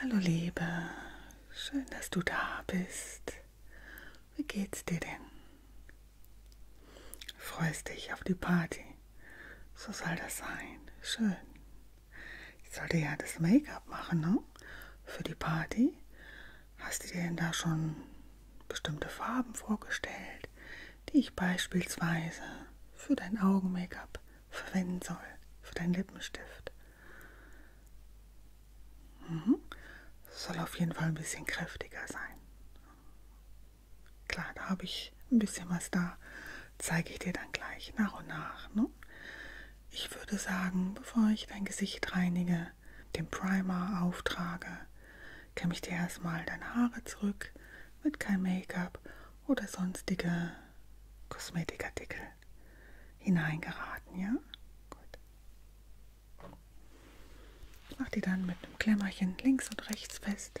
Hallo Liebe, schön, dass du da bist. Wie geht's dir denn? Freust dich auf die Party? So soll das sein. Schön. Ich sollte ja das Make-up machen, ne? Für die Party. Hast du dir denn da schon bestimmte Farben vorgestellt, die ich beispielsweise für dein Augen-Make-up verwenden soll für deinen Lippenstift. Mhm. Soll auf jeden Fall ein bisschen kräftiger sein. Klar, da habe ich ein bisschen was da. Zeige ich dir dann gleich nach und nach. Ne? Ich würde sagen, bevor ich dein Gesicht reinige, den Primer auftrage, kämme ich dir erstmal deine Haare zurück mit kein Make-up oder sonstige Kosmetikartikel hineingeraten, ja? Gut. Ich mache die dann mit einem Klemmerchen links und rechts fest.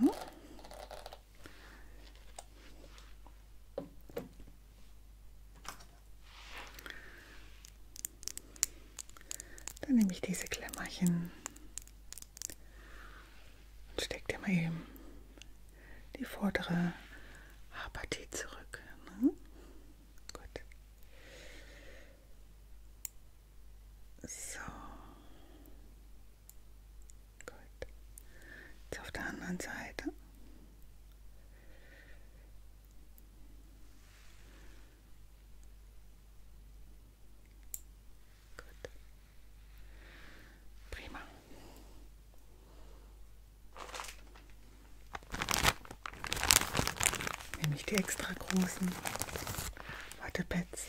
So, ne? Dann nehme ich diese Klemmerchen und stecke dir mal eben die vordere Haarpartie zurück. Ne? Gut. So. Gut. Jetzt auf der anderen Seite. Gut. Prima. Nämlich die extra großen Wattepads.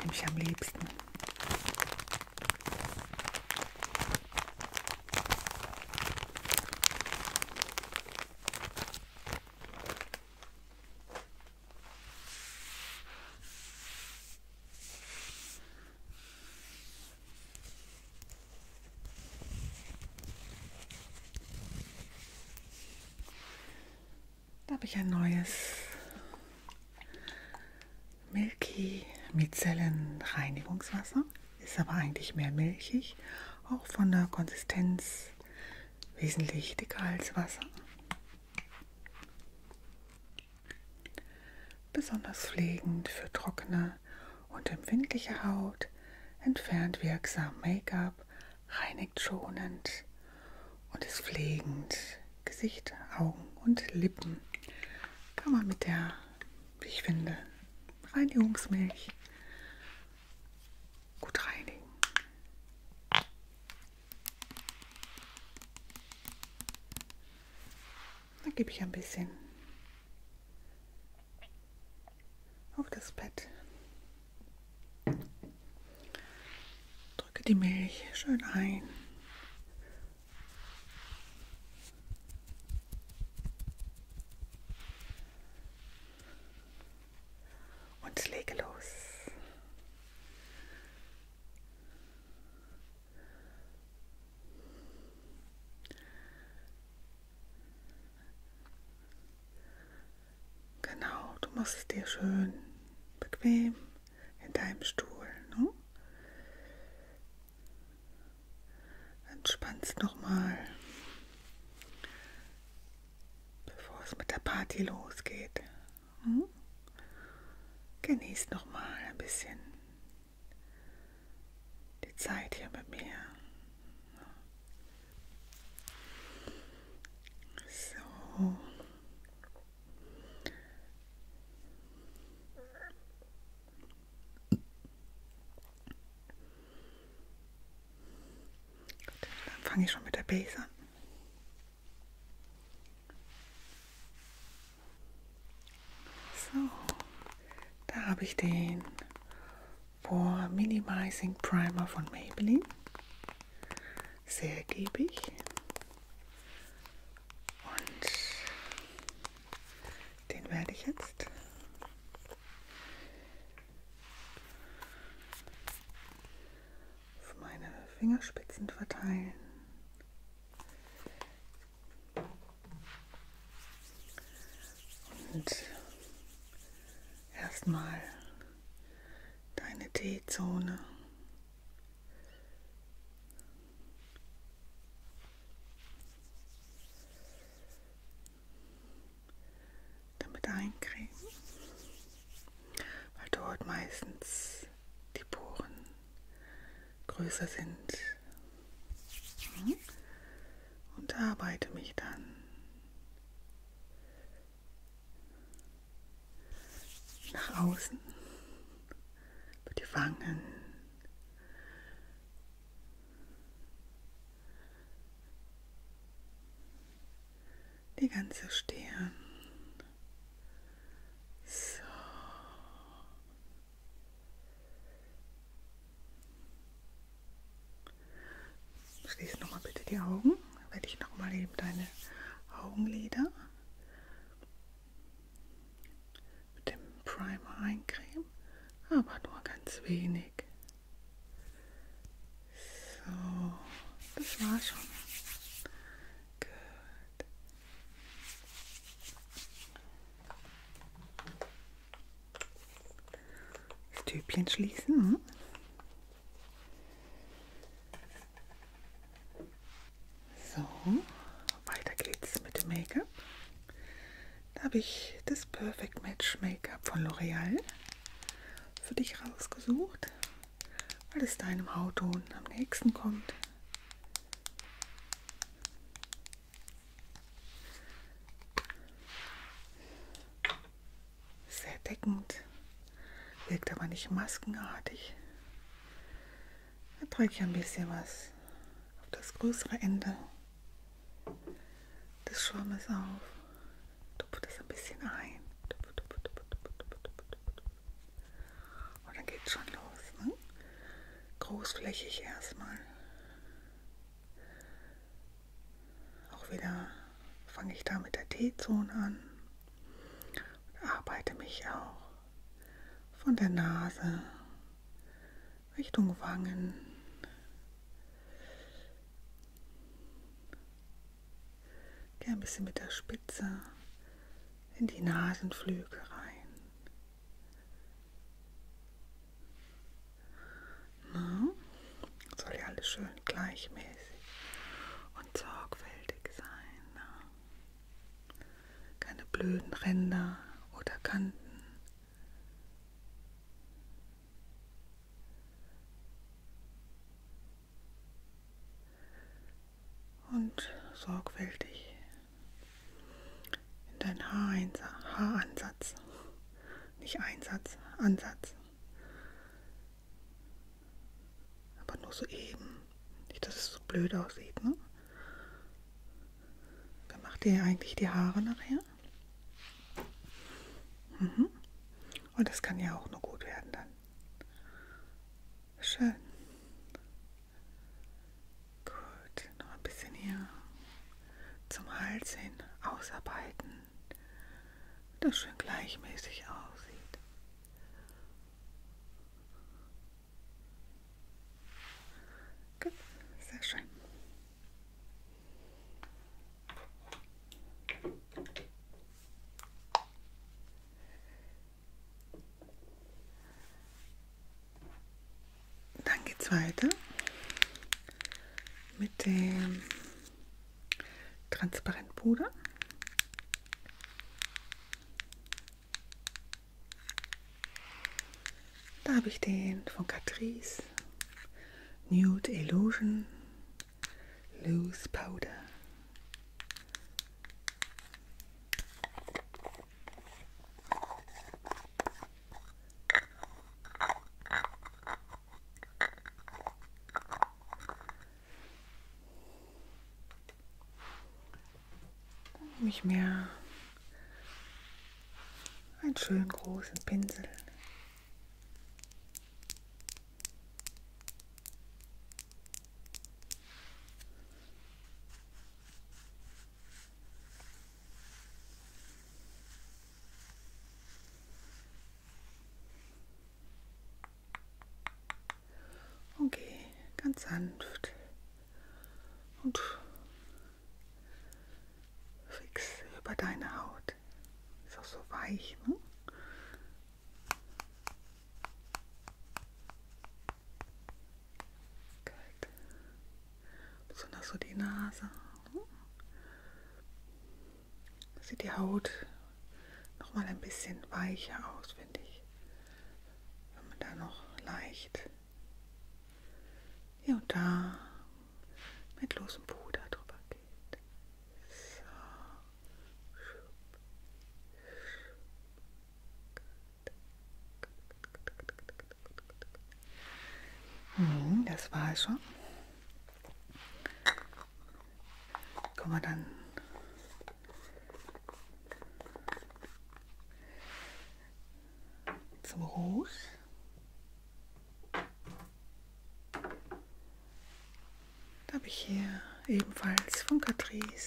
Nehme ich am liebsten. Da habe ich ein neues Milky Mizellenreinigungswasser. Ist aber eigentlich mehr milchig, auch von der Konsistenz wesentlich dicker als Wasser. Besonders pflegend für trockene und empfindliche Haut, entfernt wirksam Make-up, reinigt schonend und ist pflegend. Gesicht, Augen und Lippen kann man mit der, wie ich finde, Reinigungsmilch gut reinigen. Dann gebe ich ein bisschen auf das Bett. Drücke die Milch schön ein. Und lege los. Genau, du machst es dir schön bequem in deinem Stuhl. Ne? Entspannst nochmal, bevor es mit der Party losgeht. Ne? Genießt nochmal ein bisschen die Zeit hier mit mir. Ne? So. Gut, dann fange ich schon mit der Base an. So, da habe ich den Pore Minimizing Primer von Maybelline. Sehr ergiebig. Und den werde ich jetzt auf meine Fingerspitzen verteilen. Und erstmal deine T-Zone. damit eincremen, weil dort meistens die Poren größer sind. Hm? Und arbeite mich dann nach außen, über die Wangen. Die ganze Stirn. So. Schließe nochmal bitte die Augen. Werde ich nochmal eben deine Augenlider mit dem Primer eincremen, aber nur ganz wenig. So, das war schon. Gut. Das Tübchen schließen. Hm. So, weiter geht's mit dem Make-up. Da habe ich das Perfect Match Make-up von L'Oreal für dich rausgesucht, weil es deinem Hautton am nächsten kommt sehr deckend, wirkt aber nicht maskenartig. Da drücke ich ein bisschen was auf das größere Ende des Schwammes auf, tupfe das ein bisschen ein. Und dann geht's schon los. Ne? Großflächig erstmal. Auch wieder fange ich da mit der T-Zone an und arbeite mich auch von der Nase Richtung Wangen. Geh ein bisschen mit der Spitze in die Nasenflügel rein. Na? Soll ja alles schön gleichmäßig und sorgfältig sein. Na? Ne? Keine blöden Ränder oder Kanten. Und sorgfältig in deinen Haaransatz. Nicht Einsatz, Ansatz. Aber nur so eben. Nicht, dass es so blöd aussieht, ne? Wer macht dir eigentlich die Haare nachher? Mhm. Und das kann ja auch nur gut werden dann. Schön. Gut, noch ein bisschen hier zum Hals hin ausarbeiten das schön gleichmäßig aussieht. Gut, sehr schön. Dann geht's weiter mit dem Transparentpuder. Da habe ich den von Catrice Nude Illusion Loose Powder. Dann nehme ich mir einen schönen großen Pinsel. Und geh ganz sanft und fix über deine Haut. Ist auch so weich, ne? Gut. Besonders so die Nase sieht die Haut noch mal ein bisschen weicher aus, finde ich. Wenn man da noch leicht hier und da mit losem Puder drüber geht. So. Hm, das war es schon. Kann man dann zum Rouge. Da habe ich hier ebenfalls von Catrice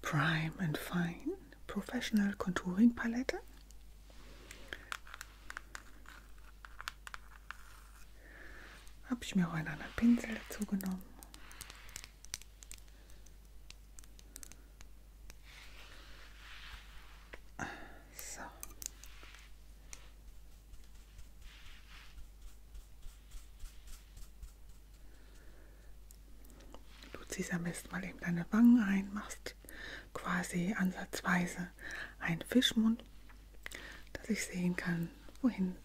Prime and Fine Professional Contouring Palette. Habe ich mir auch einen anderen Pinsel dazu genommen. So. Du ziehst am besten mal eben deine Wangen ein, machst nicht quasi ansatzweise ein Fischmund, dass ich sehen kann, wohin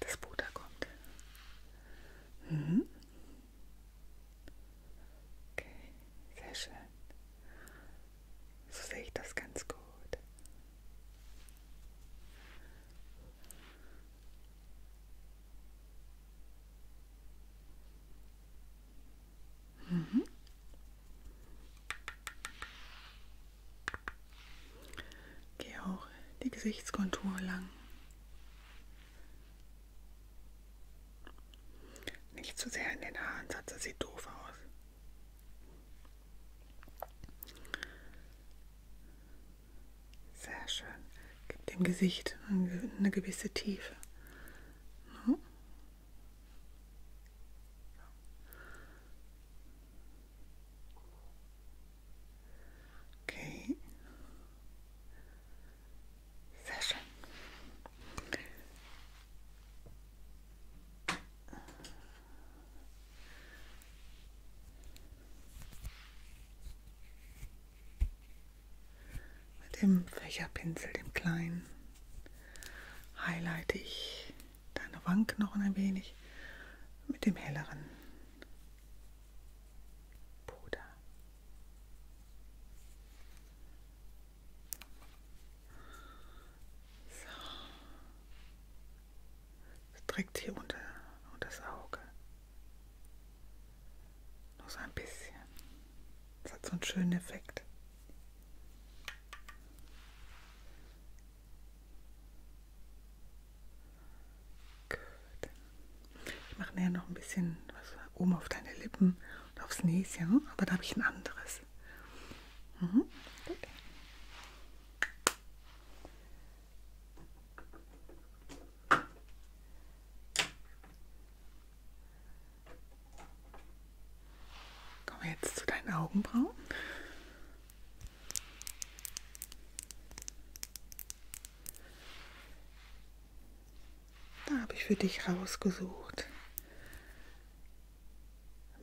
das Butter kommt. Mhm. Okay, sehr schön. So sehe ich das ganz gut. Mhm. Gehe auch die Gesichtskontur lang. Nicht zu sehr in den Haaransatz, das sieht doof aus. Sehr schön. Gibt dem Gesicht eine gewisse Tiefe. No. Ne? Okay. Sehr schön. Mit dem Fächerpinsel, dem kleinen, highlighte ich deine Wangenknochen ein wenig mit dem helleren Puder. So. Direkt hier unter und das Auge. Nur so ein bisschen. Das hat so einen schönen Effekt. Gut. Ich mache näher noch ein bisschen was oben auf deine Lippen und aufs Näschen, aber da habe ich ein anderes. Mhm. Gut. Kommen wir jetzt zu deinen Augenbrauen. Da habe ich für dich rausgesucht.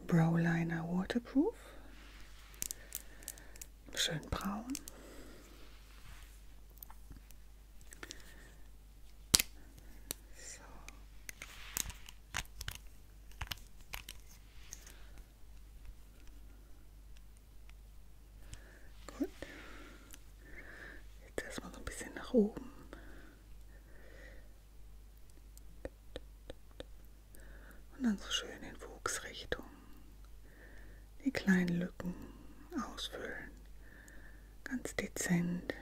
Browliner Waterproof schön braun. So. Gut. Jetzt erstmal so ein bisschen nach oben und dann so schön in Wuchsrichtung die kleinen Lücken ausfüllen. Ganz dezent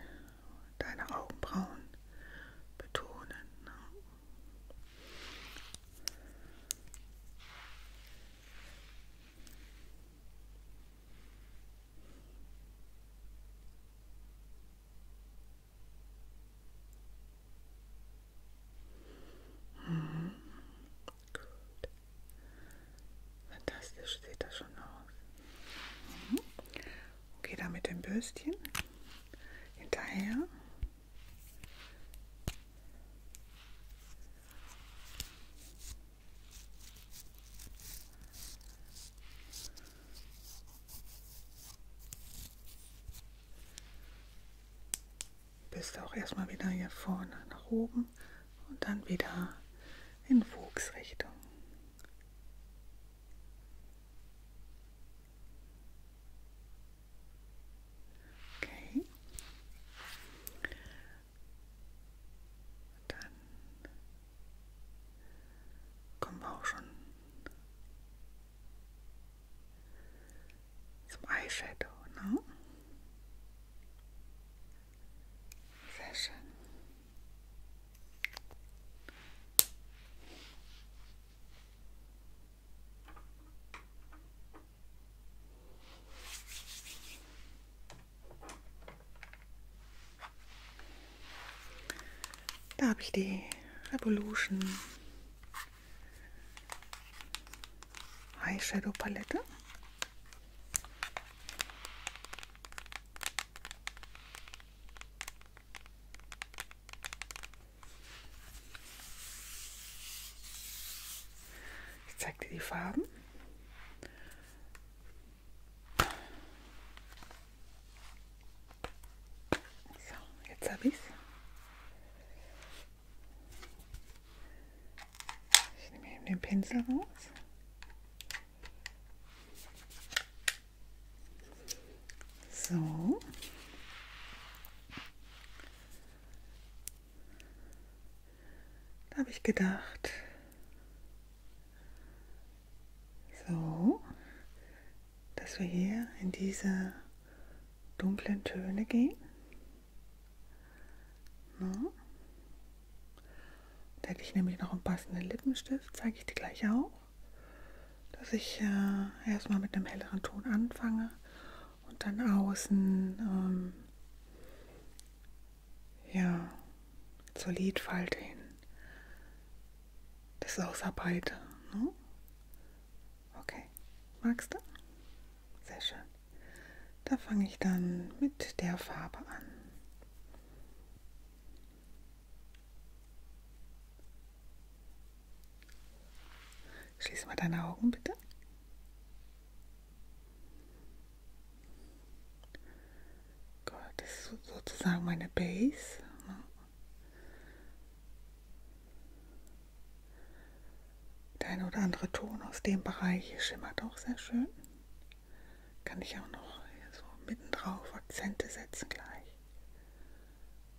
deine Augenbrauen betonen. Ne? Mhm. Gut. Fantastisch sieht das schon aus. Mhm. Okay, da mit dem Bürstchen hinterher bist auch erstmal wieder hier vorne nach oben und dann wieder in Wuchsrichtung. Okay. Dann kommen wir auch schon zum Eyeshadow. Ne? Sehr schön. Da habe ich die Revolution Eyeshadow-Palette. Ich zeige dir die Farben. So, jetzt habe ich es. Ich nehme eben den Pinsel raus. So. Da habe ich gedacht. So, dass wir hier in diese dunklen Töne gehen. No. Da hätte ich nämlich noch einen passenden Lippenstift, zeige ich dir gleich auch, dass ich äh, erstmal mit einem helleren Ton anfange und dann außen ähm, ja, zur Lidfalte hin das ausarbeite. Ne? Okay, magst du? Sehr schön. Da fange ich dann mit der Farbe an. Schließ mal deine Augen bitte. Gut, das ist sozusagen meine Base. Ne? Der eine oder andere Ton aus dem Bereich schimmert auch sehr schön. Kann ich auch noch so mittendrauf Akzente setzen gleich.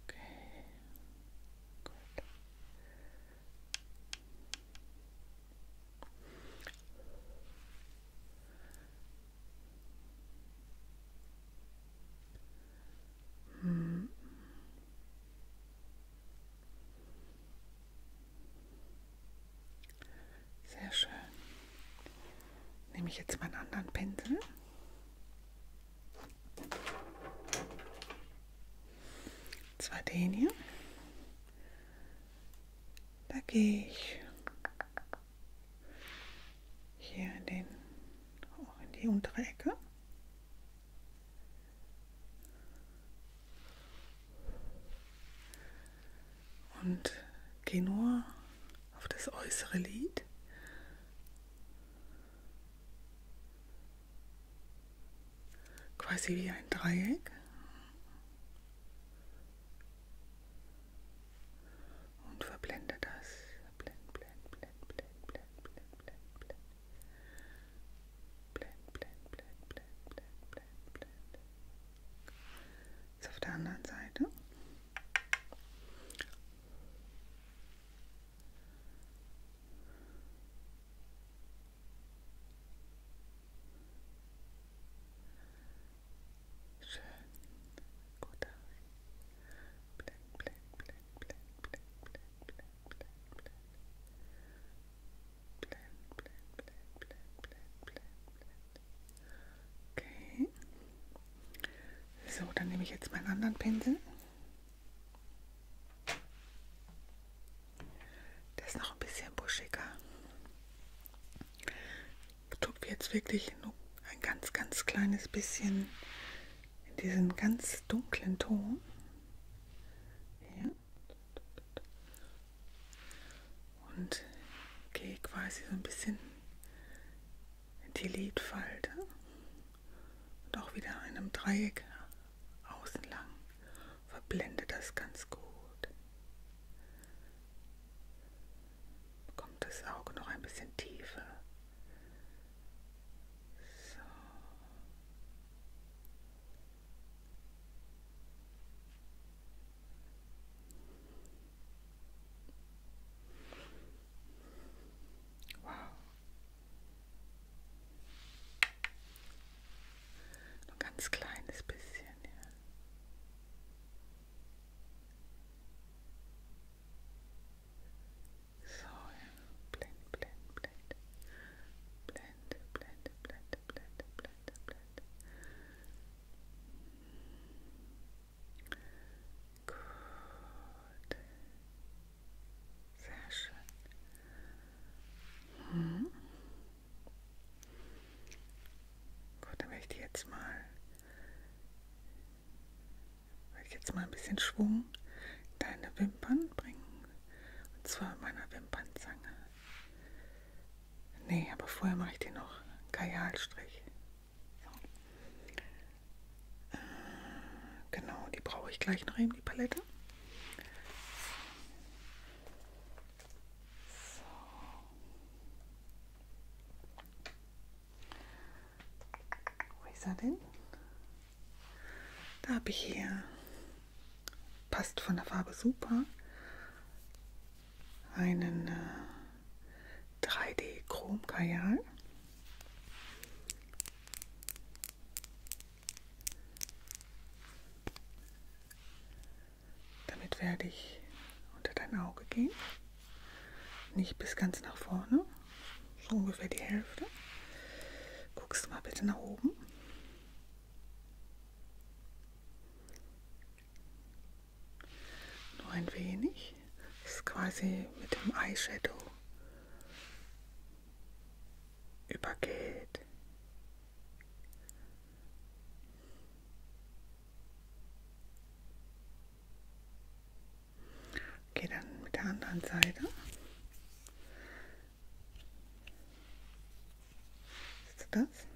Okay. Gut. Hm. Sehr schön. Nehme ich jetzt meinen anderen Pinsel. Und zwar den hier. Da gehe ich hier in, den, in die untere Ecke und geh nur auf das äußere Lied. Quasi wie ein Dreieck. Und verblende das. Blend, blend, blend, blend, blend, blend, blend, blend. blend, blend, blend, blend, blend, blend, blend, blend, blend, blend, blend. Okay. So, dann nehme ich jetzt meinen anderen Pinsel. Der ist noch ein bisschen buschiger. Ich tupfe jetzt wirklich nur ein ganz, ganz kleines bisschen in diesen ganz dunklen Ton. Ja. Und gehe quasi so ein bisschen in die Lidfalte und auch wieder in einem Dreieck außen lang. Verblende das ganz gut. Bekommt das Auge noch ein bisschen tiefer. So. Wow. Nur ein ganz kleines bisschen, ja. So, ja. Blende, blende, blende. Blende, blende, blende, blende, blende, blende. Gut. Sehr schön. Hm. Gut, dann möchte ich jetzt mal, möchte ich jetzt mal ein bisschen Schwung deine Wimpern bringen. Und zwar mit meiner Wimpernzange. Nee, aber vorher mache ich den noch Kajalstrich. So. Äh, genau, die brauche ich gleich noch eben, die Palette. So. Wo ist er denn? Da habe ich hier, passt von der Farbe super, einen äh, 3D Chrom Kajal. Damit werde ich unter dein Auge gehen. Nicht bis ganz nach vorne, so ungefähr die Hälfte. Guckst mal bitte nach oben. Nur ein wenig. Das ist quasi mit dem Eyeshadow übergeht. Okay, dann mit der anderen Seite. Siehst du das?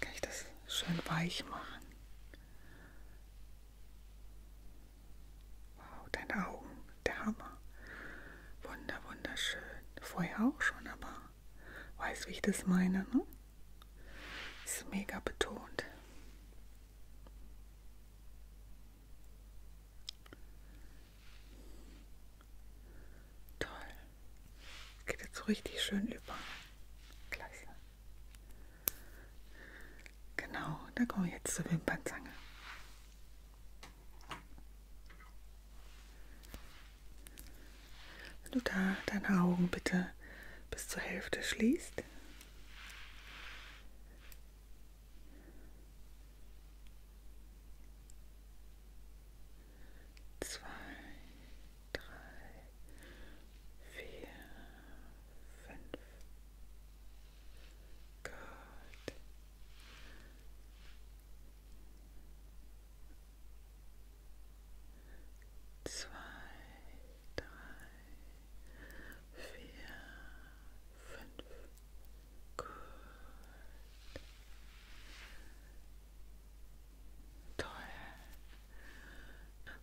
Kann ich das schön weich machen? Wow, deine Augen, der Hammer. Wunder, wunderschön. Vorher auch schon, aber weiß, wie ich das meine, ne? Ist mega betont. Toll. Geht jetzt richtig schön über. Klasse. Genau, da kommen wir jetzt zur Wimpernzange. Wenn du da deine Augen bitte bis zur Hälfte schließt, Zwei, drei, vier, fünf. Gut. Zwei, drei, vier, fünf. Gut. Toll.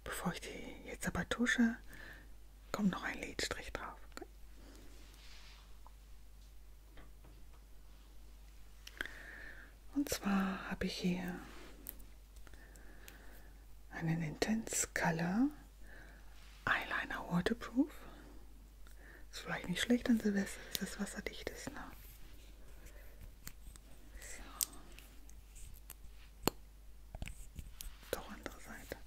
Bevor ich die jetzt aber tusche, kommt noch ein Lidstrich drauf. Okay. Und zwar habe ich hier einen Intense Color Eyeliner Waterproof. Ist vielleicht nicht schlecht an Silvester, dass das wasserdicht ist. Ne? So. Doch andere Seite.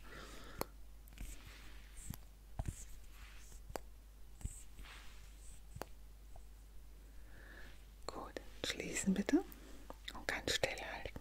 Gut, schließen bitte und ganz still halten.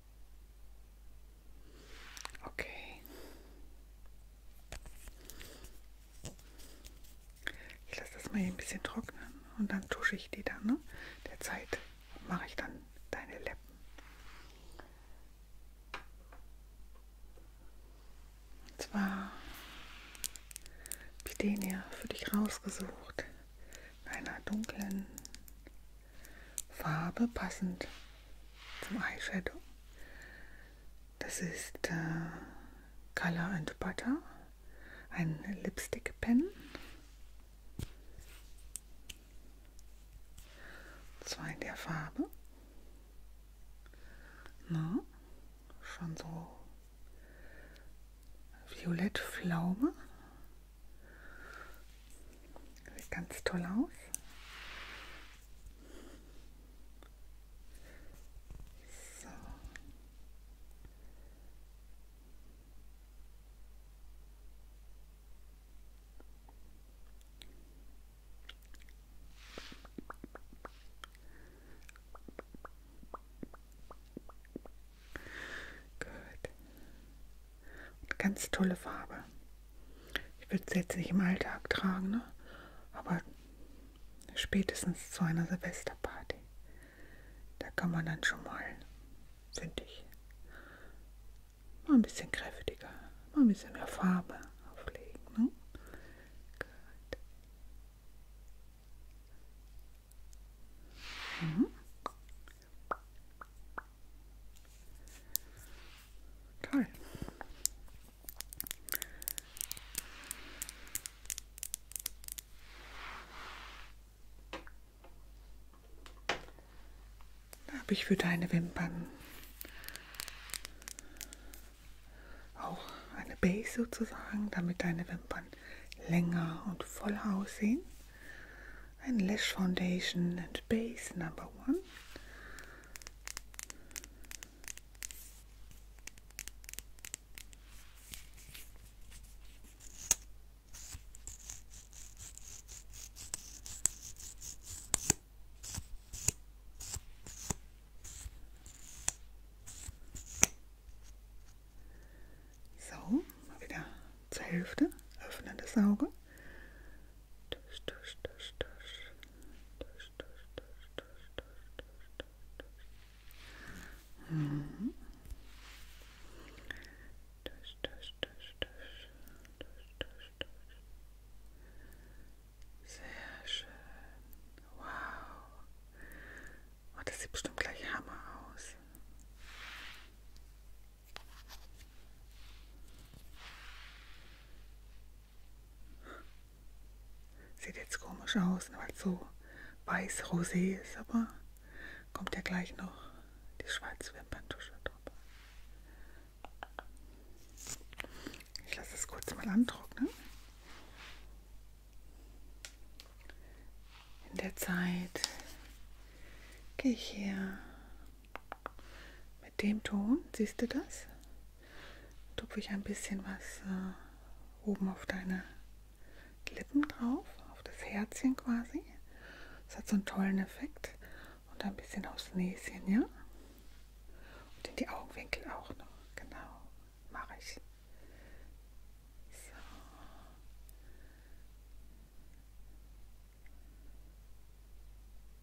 Okay. Ich lasse das mal hier ein bisschen trocknen und dann tusche ich die dann. Ne? Derzeit mache ich dann deine Lippen. Und zwar habe ich den hier für dich rausgesucht. In einer dunklen Farbe passend zum Eyeshadow. Das ist äh, Color and Butter, ein Lipstick Pen. Zwar in der Farbe. Na, schon so violett Pflaume. Sieht ganz toll aus. So. Gut. Und ganz tolle Farbe. Ich würde es jetzt nicht im Alltag tragen, ne? aber spätestens zu einer Silvesterparty. Da kann man dann schon mal, finde ich, mal ein bisschen kräftiger, mal ein bisschen mehr Farbe auflegen. Ne? Gut. Mhm. Geil. Habe ich für deine Wimpern auch eine Base sozusagen, damit deine Wimpern länger und voll aussehen and lash foundation and base number one. So, wieder zur Hälfte öffnen das Auge tusch, tusch, tusch, tusch, tusch, tusch, tusch, tusch, tusch, tusch, tusch. Mhm. Tusch, tusch, tusch, tusch, tusch, tusch, tusch. Sehr schön. Wow. Oh, das sieht bestimmt gleich Hammer aus. Sieht jetzt komisch aus, ne, weil es so weiß-rosé ist, aber kommt ja gleich noch die schwarze Wimperntusche drüber. Ich lasse es kurz mal antrocknen. In der Zeit gehe ich hier mit dem Ton, siehst du das? Tupfe ich ein bisschen was äh, oben auf deine Lippen drauf, auf das Herzchen quasi. Das hat so einen tollen Effekt. Und ein bisschen aufs Näschen, ja? Und in die Augenwinkel auch noch. Genau, mache ich. So.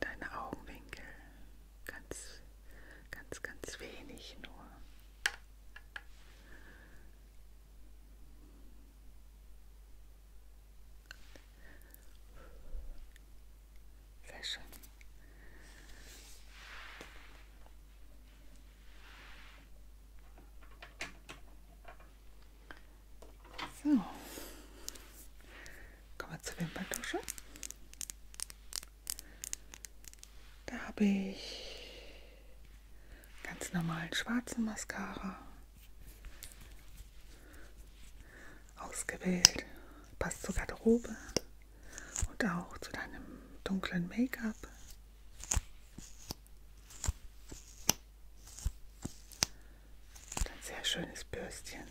deine Augenwinkel. Ganz, ganz, ganz wenig nur. Sehr schön. So, Kommen wir zur Wimperntusche. Da habe ich ganz normalen schwarzen Mascara ausgewählt. Passt zur Garderobe und auch zu deinem dunklen Make-up. Ein sehr schönes Bürstchen.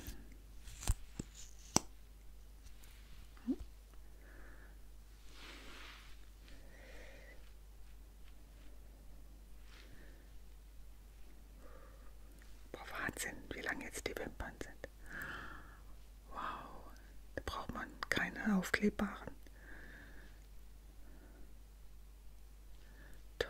Boah, Wahnsinn, wie lang jetzt die Wimpern sind. Wow, da braucht man keine aufklebbaren. Toll.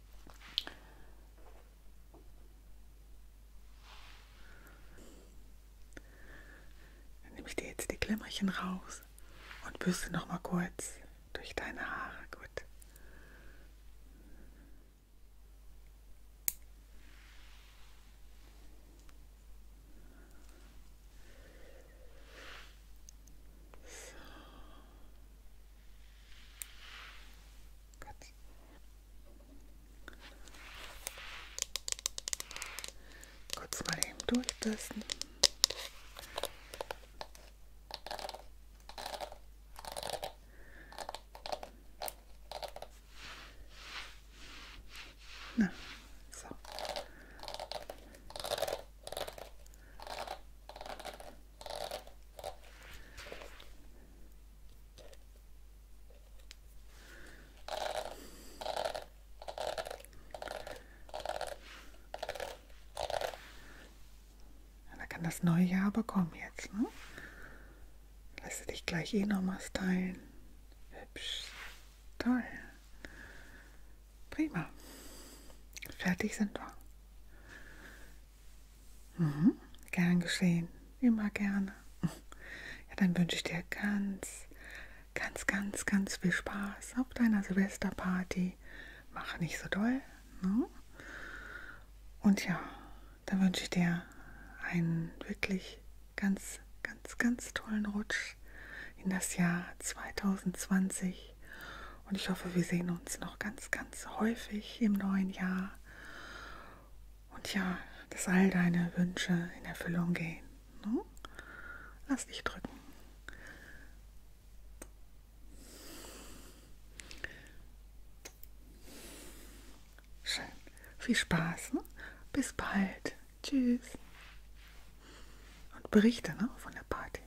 Dann nehme ich dir jetzt die Klemmerchen raus und bürste noch mal kurz durch deine Haare. Gut. So. Gott. Kurz mal eben durchtesten. Na, so. Da kann das neue Jahr aber kommen jetzt, ne? Lass dich gleich eh nochmal stylen. Hübsch. Toll. Prima. Fertig sind wir. Mhm. Gern geschehen, immer gerne. Ja, dann wünsche ich dir ganz, ganz, ganz, ganz viel Spaß auf deiner Silvesterparty. Mach nicht so doll. Ne? Und ja, dann wünsche ich dir einen wirklich ganz, ganz, ganz tollen Rutsch in das Jahr 2020 euch. Und ich hoffe, wir sehen uns noch ganz, ganz häufig im neuen Jahr. Und ja, dass all deine Wünsche in Erfüllung gehen. Ne? Lass dich drücken. Schön. Viel Spaß. Ne? Bis bald. Tschüss. Und berichte ne, von der Party.